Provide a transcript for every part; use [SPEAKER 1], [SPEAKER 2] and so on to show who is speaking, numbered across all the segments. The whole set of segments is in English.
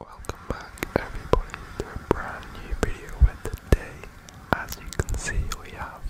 [SPEAKER 1] Welcome back everybody to a brand new video and today as you can see we have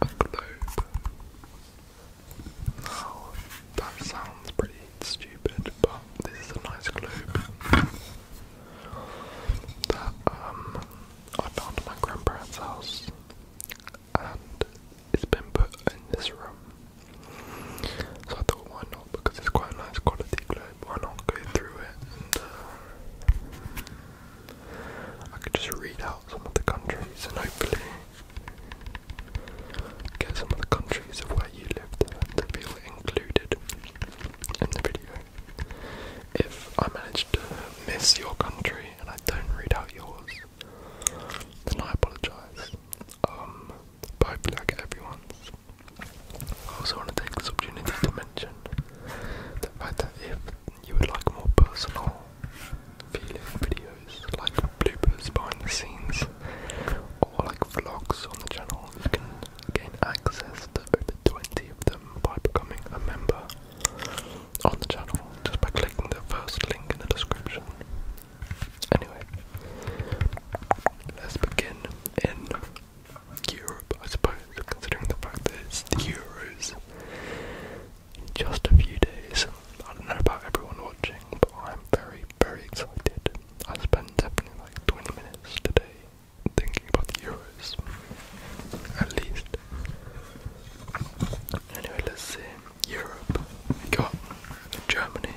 [SPEAKER 1] a globe. Now that sounds pretty stupid but this is a nice globe that um I found at my grandparents' house and it's been put in this room so I thought, why not? Because it's quite a nice quality globe. Why not go through it uh, I could just read out some of the countries and hopefully get some of the countries of where you live to be included in the video. If I manage to miss your country and I don't read out yours, then I apologise. Um, by Black Everyone's. I also want to take this opportunity to mention the fact that if you would like more personal feeling videos, like bloopers behind the scenes, or like vlogs on the channel, you can gain access to over 20 of them by becoming a member on the channel just by clicking the first link in the description. Anyway, let's begin in Europe, I suppose, considering the fact that it's the Euros in just a few days. I don't know about everyone watching, but I'm very, very excited. I spent definitely like 20 minutes today thinking about the Euros, at least. Anyway, let's see. Europe, we got Germany.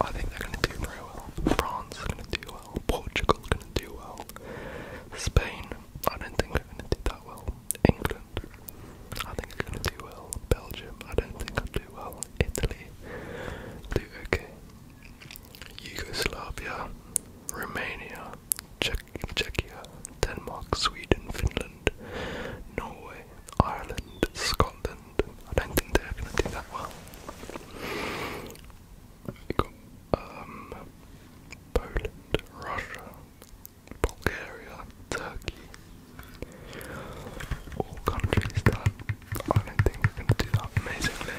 [SPEAKER 1] I think they're going to do very well. France is going to do well. Portugal going to do well. Spain, I don't think they're going to do that well. England, I think it's going to do well. Belgium, I don't think they'll do well. Italy, do okay. Yugoslavia, Romania, Czech Czechia, Denmark, Sweden, Finland, Norway, Ireland, Scotland. I don't think they're going to do that well. We got um, Poland, Russia, Bulgaria, Turkey. All countries that I don't think are going to do that amazingly.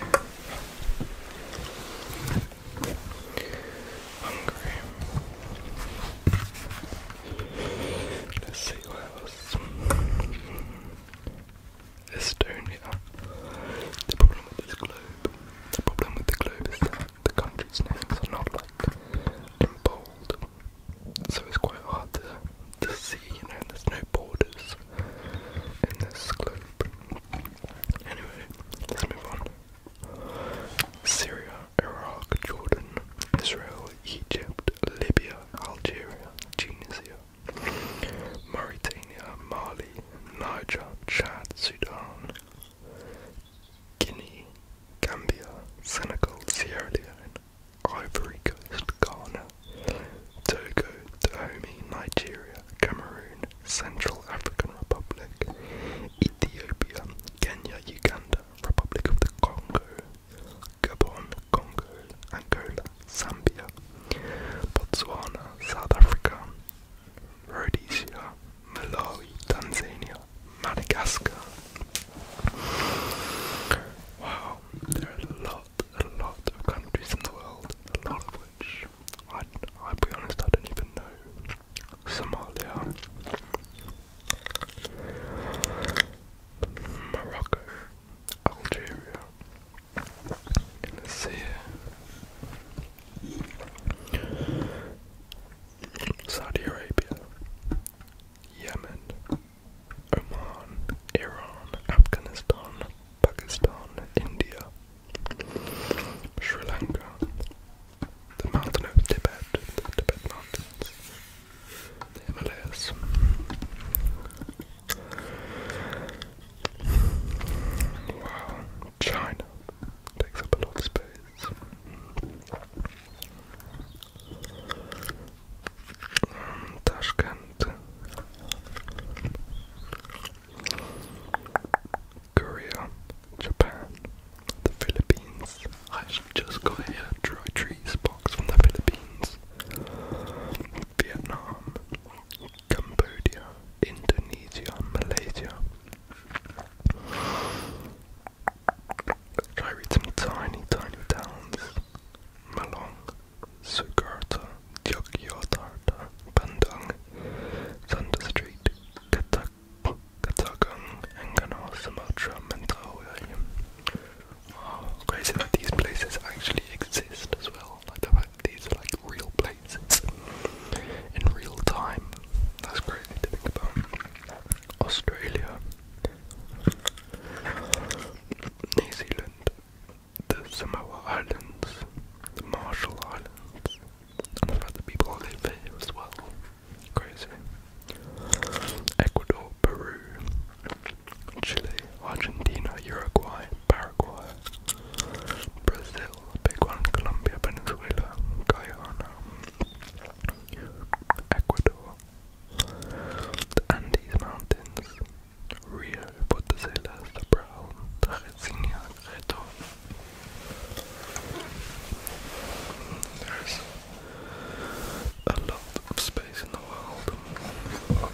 [SPEAKER 1] Hungary. Let's see Estonia. The problem with this globe, the problem with the globe is that the countries' names are not like in bold, so it's quite hard to, to see, you know, there's no borders in this globe. Anyway, let's move on. Syria, Iraq, Jordan, Israel, Egypt, Libya, Algeria, Tunisia, Mauritania, Mali, Niger, Chad, Sudan, Guinea, Gambia, Senegal, Sierra Leone, Ivory Coast, Ghana, Togo, Dahomey, Nigeria, Cameroon, Central African Republic, Ethiopia, Kenya, Uganda, Republic of the Congo, Gabon, Congo, Angola, Zambia, Botswana, South Africa, Rhodesia, Malawi, Tanzania, Madagascar. Wow, there are a lot, a lot of countries in the world, a lot of which I, i be honest, I don't even know. Somalia, Morocco, Algeria, Tunisia, Saudi Arabia, Yemen, Oman, Iran, Afghanistan, Pakistan, India, Sri Lanka, the mountain of Tibet, the Tibet Mountains, the Himalayas. Wow, China takes up a lot of space. Mm, Tashkent. Korea, Japan, the Philippines. I actually just got here dry trees box from the Philippines. Vietnam, Cambodia, Indonesia, Malaysia. let try read some tiny, tiny towns. Malong, Sukarta, Yogyakarta, Bandung, Thunder Street, Kota Katagang, Enganar, Sumatra, Mentawai. Oh, crazy that these places actually exist as well. Like the fact these are like real places in real time. That's crazy to think about. Australia, New Zealand, the Samoa Islands, the Marshall Islands, and the fact that people live as well. Crazy. Ecuador, Peru, Chile, Argentina, Uruguay, Paraguay, Brazil, big one, Colombia, Venezuela, Guyana, Ecuador, the Andes Mountains, Rio, Porto Celas, the Brown, Tarresinia, Reto, there's a lot of space in the world.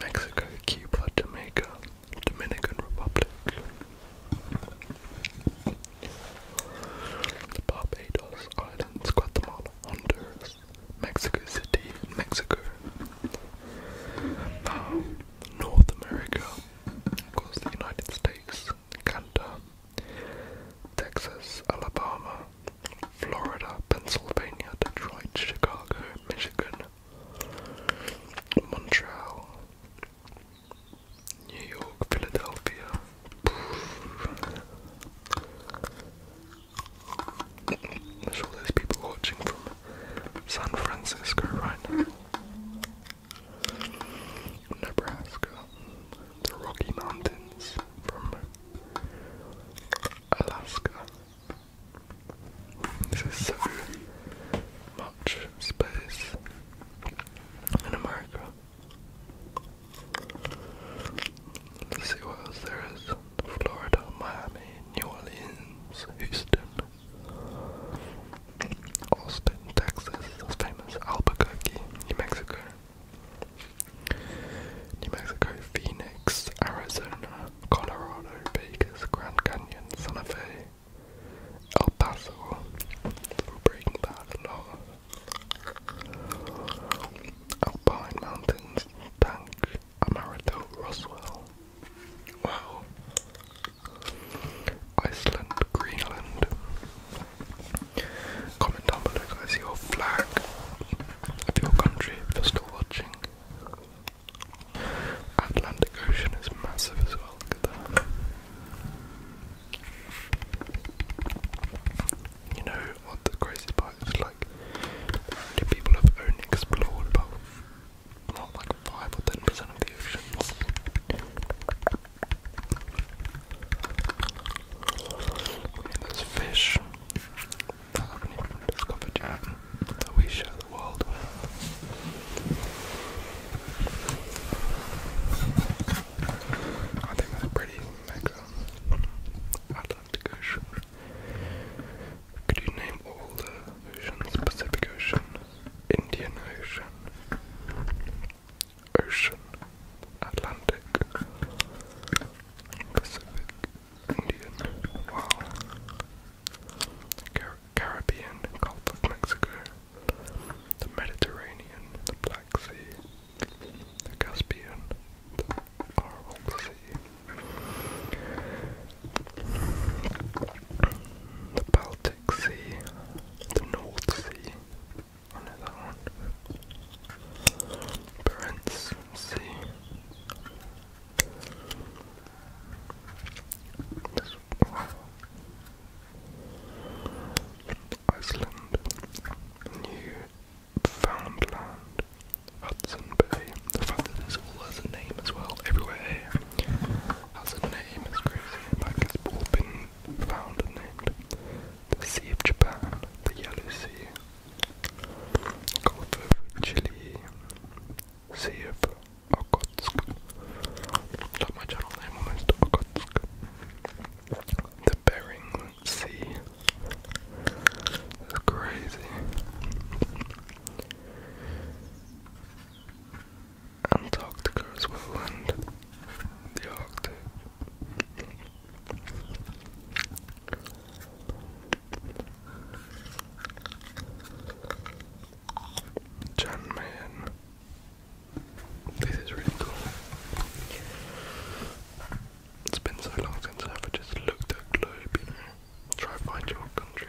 [SPEAKER 1] Mexico, Cuba, Jamaica, Dominican Republic, the Barbados Islands, Guatemala, Honduras, Mexico City, Mexico, North America, of course, the United States, Canada, Texas, Alabama, Florida, Pennsylvania, Detroit, Chicago, Michigan, Montreal, New York, Philadelphia. There's all those people watching from San Francisco right now. Nebraska, the Rocky Mountains from Alaska. This is so much space in America. Let's see what else there is. Florida, Miami, New Orleans, Houston, Austin, Texas, that's famous, Albuquerque, New Mexico, New Mexico, Phoenix, Arizona, Colorado, Vegas, Grand Canyon, Santa Fe, El Paso, breaking Bad, a lot. Alpine Mountains, Bank. Amaretto Roswell. Wow. Iceland, Greenland. Comment down below guys your flag your country if you're still watching. Atlantic Ocean is massive as well, You know what the crazy part is like people have only explored about not like five or ten percent of the oceans. I there's fish that haven't even discovered yet that we share the world I think that's pretty mega. Could you name all the oceans? Pacific Ocean, Indian Ocean, Ocean, Atlantic, Pacific, Indian, wow, Caribbean, Gulf of Mexico, the Mediterranean, the Black Sea, the Caspian, horrible to see. The Baltic Sea, the North Sea, I know that one. Barents Sea. This Iceland, New Foundland, Hudson Bay. The fact that this all has a name as well, everywhere has a name is crazy. Like it's all been found and named. The Sea of Japan, the Yellow Sea, Gulf of Chile, Sea of Okhotsk. Like my channel name almost Okhotsk. The Bering See, It's crazy. Antarctica as the Arctic. Jan Mayen. This is really cool. It's been so long since I've just looked at a globe, you know. Try to find your country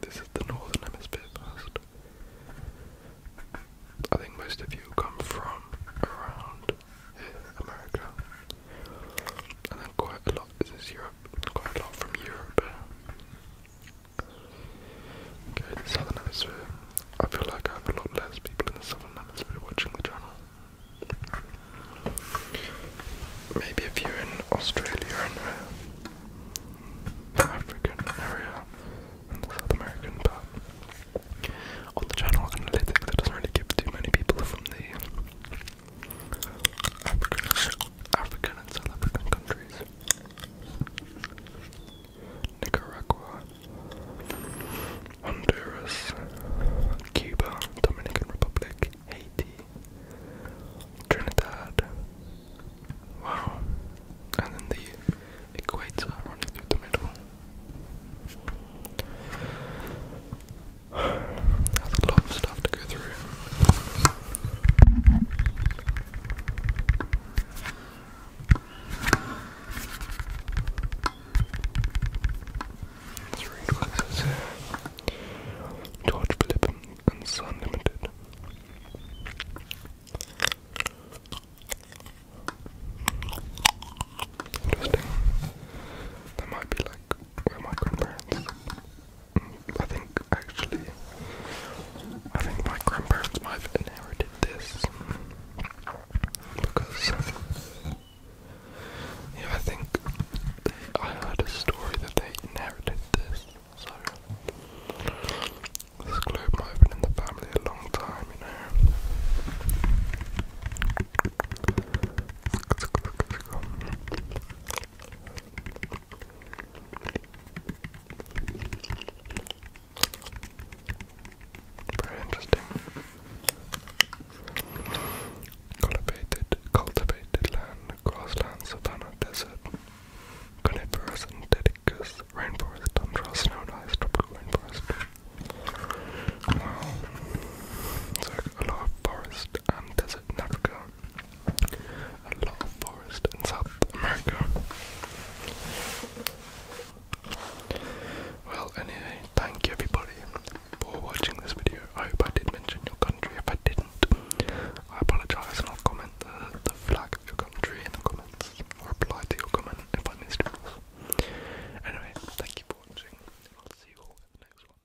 [SPEAKER 1] This is the northern hemisphere I think most of you come from around America. And then quite a lot, this is Europe, quite a lot from Europe. Okay, the southern hemisphere. I feel like I have a lot less people in the southern hemisphere watching the channel. Maybe if you're in Australia and the uh, African area and the South American, but on the channel analytics, it doesn't really give too many people from the African and South African countries. Nicaragua, Honduras, Cuba, Dominican Republic, Haiti, Trinidad. Wow. And then the equator running through the middle. a lot of stuff to go through. Three Dwellers George Philip and Sun Limited. Interesting. That might be like where my I think actually. I think my grandparents might have inherited this because yeah, I think I heard a story that they inherited this. So this globe might have been in the family a long time, you know. Very interesting. Cultivated, cultivated land, grassland, savanna, desert, coniferous and dedicus, rainforest, tundra, snow tropical rainforest. Wow. So a lot of forest and desert, Nazca, a lot of forest in South America. Well, anyway, thank you everybody for watching this video. I hope I did mention your country. If I didn't, I apologize and I'll comment the, flag of your country in the comments or reply to your comment if I missed it. Anyway, thank you for watching. I'll see you in the next one.